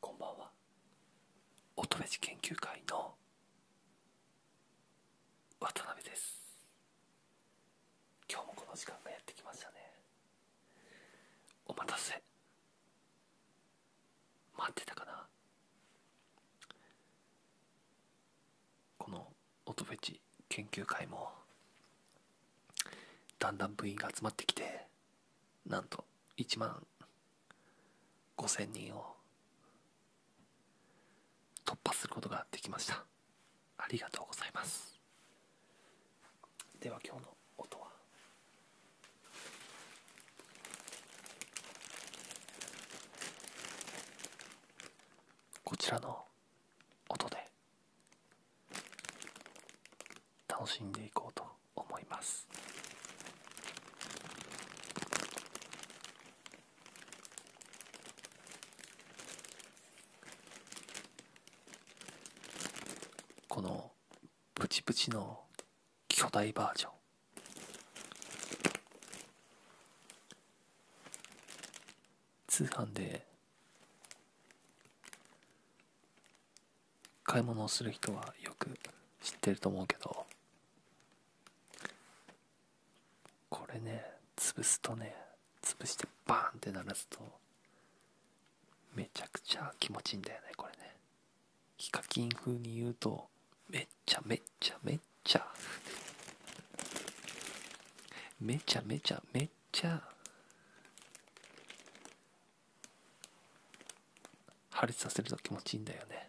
こんばんは乙女寺研究会の渡辺です今日もこの時間がやってきましたねお待たせ待ってたかなこの音フェチ研究会もだんだん部員が集まってきてなんと1万5000人を突破することができましたありがとうございますでは今日の音はこちらの音で楽しんでいこうと思いますこのプチプチの巨大バージョン通販で買い物をする人はよく知ってると思うけどこれね潰すとね潰してバーンって鳴らすとめちゃくちゃ気持ちいいんだよねこれねヒカキン風に言うとめっちゃめちゃめちゃめちゃめちゃめっちゃ破裂させると気持ちいいんだよね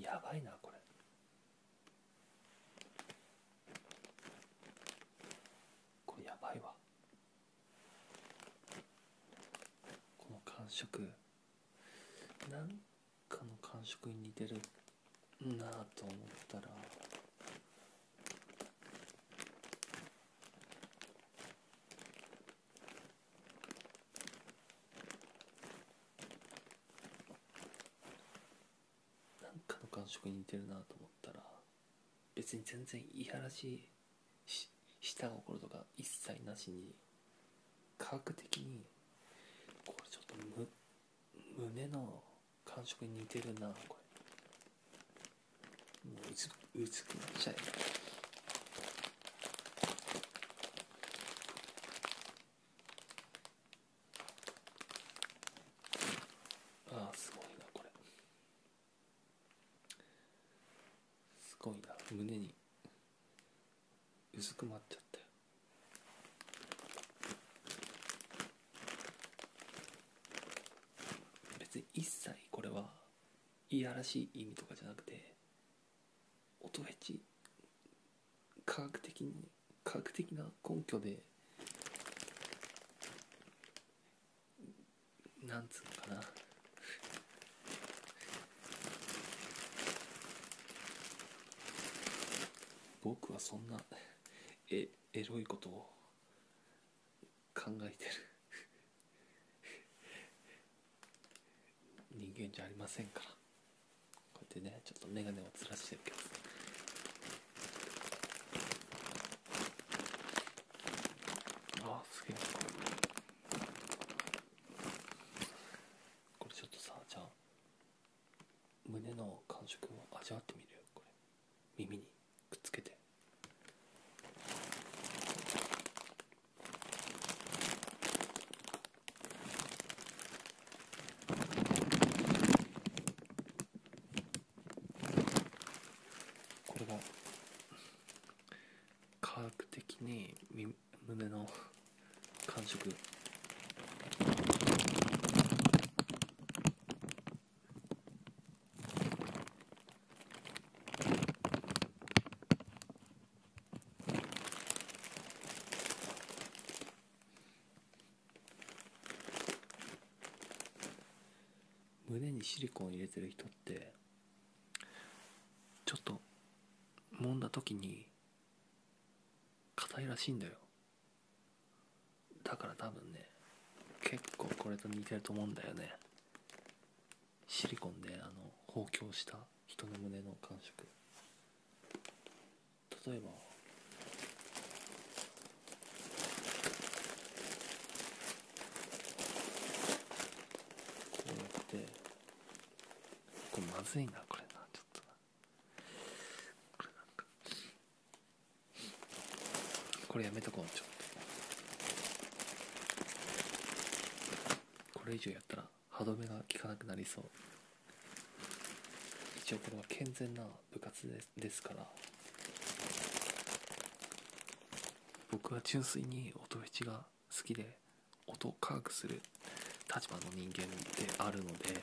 やばいなこれ。これやばいわこの感触なんかの感触に似てるなあと思ったらなんかの感触に似てるなと思ったら別に全然いやらしいし舌がとか一切なしに科学的にこれちょっとむ胸の。感触似てるなこれもう薄薄くなっちゃえああすごいなこれすごいな胸にうずくまっちゃったよ別に一切これはいやらしい意味とかじゃなくて音フェチ科学的に科学的な根拠でなんつうのかな僕はそんなえエロいことを考えてる人間じゃありませんからこうやってねちょっと眼鏡をずらしてるあすげえこれちょっとさじゃあ胸の感触を味わってみるよこれ。耳にくっつけてこれが科学的に胸の感触胸にシリコン入れてる人ってちょっともんだ時に硬いらしいんだよだから多分ね結構これと似てると思うんだよねシリコンであの包強した人の胸の感触例えばこうやってこれまずいなこれなちょっとなこれなんかこれやめとこうちょっとこれ以上やったら歯止めが利かなくなりそう一応これは健全な部活ですから僕は純粋に音フが好きで音を科学する立場の人間であるので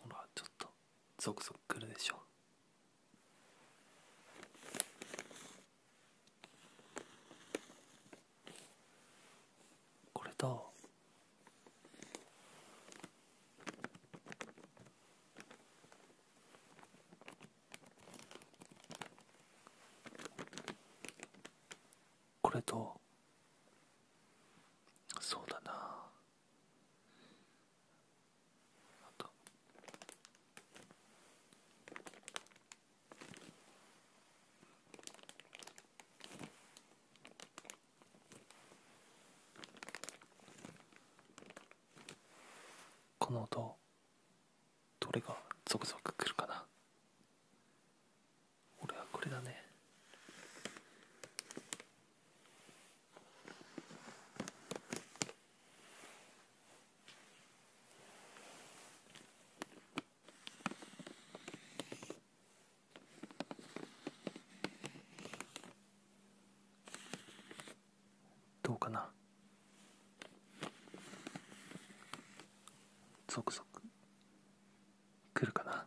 ほらちょっとゾクゾクくるでしょこれとこれとそうだなあとこの音どれがゾクゾクくるかな俺はこれだねどうかなゾクゾク来るかな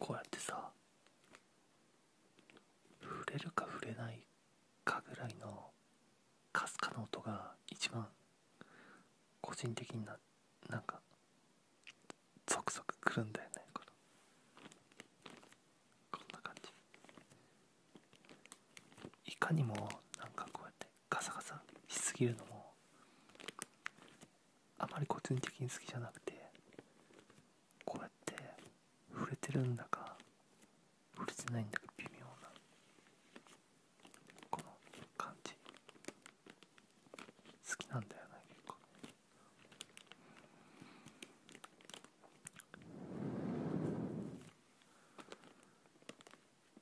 こうやってさ触れるか触れないかぐらいのかすかの音が一番個人的にななんかゾクゾクくるんだよねここんな感じいかにもなんかこうやってガサガサしすぎるのもあまり個人的に好きじゃなくてこうやって触れてるんだか触れてないんだか微妙なこの感じ好きなんだよね結構ね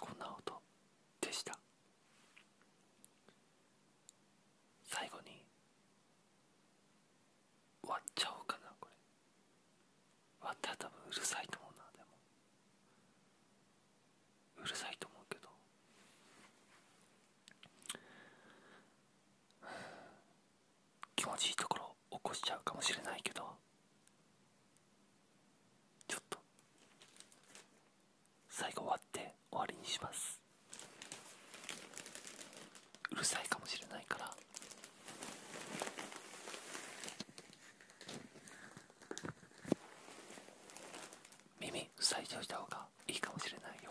こんな音でした最後に割っちゃおうかなこれ割ったら多分うるさいと思うなでもうるさいと思うけど気持ちいいところ起こしちゃうかもしれないけどちょっと最後終わって終わりにしますうるさいかもしれないから耳塞いじゃうした方がいいかもしれないよ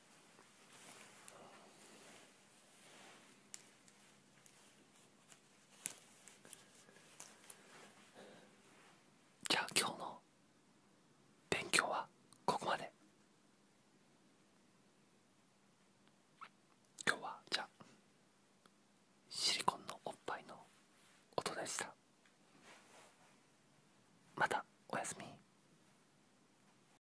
じゃあ今日の勉強はここまで今日はじゃあシリコンのおっぱいの音でしたまたおやすみ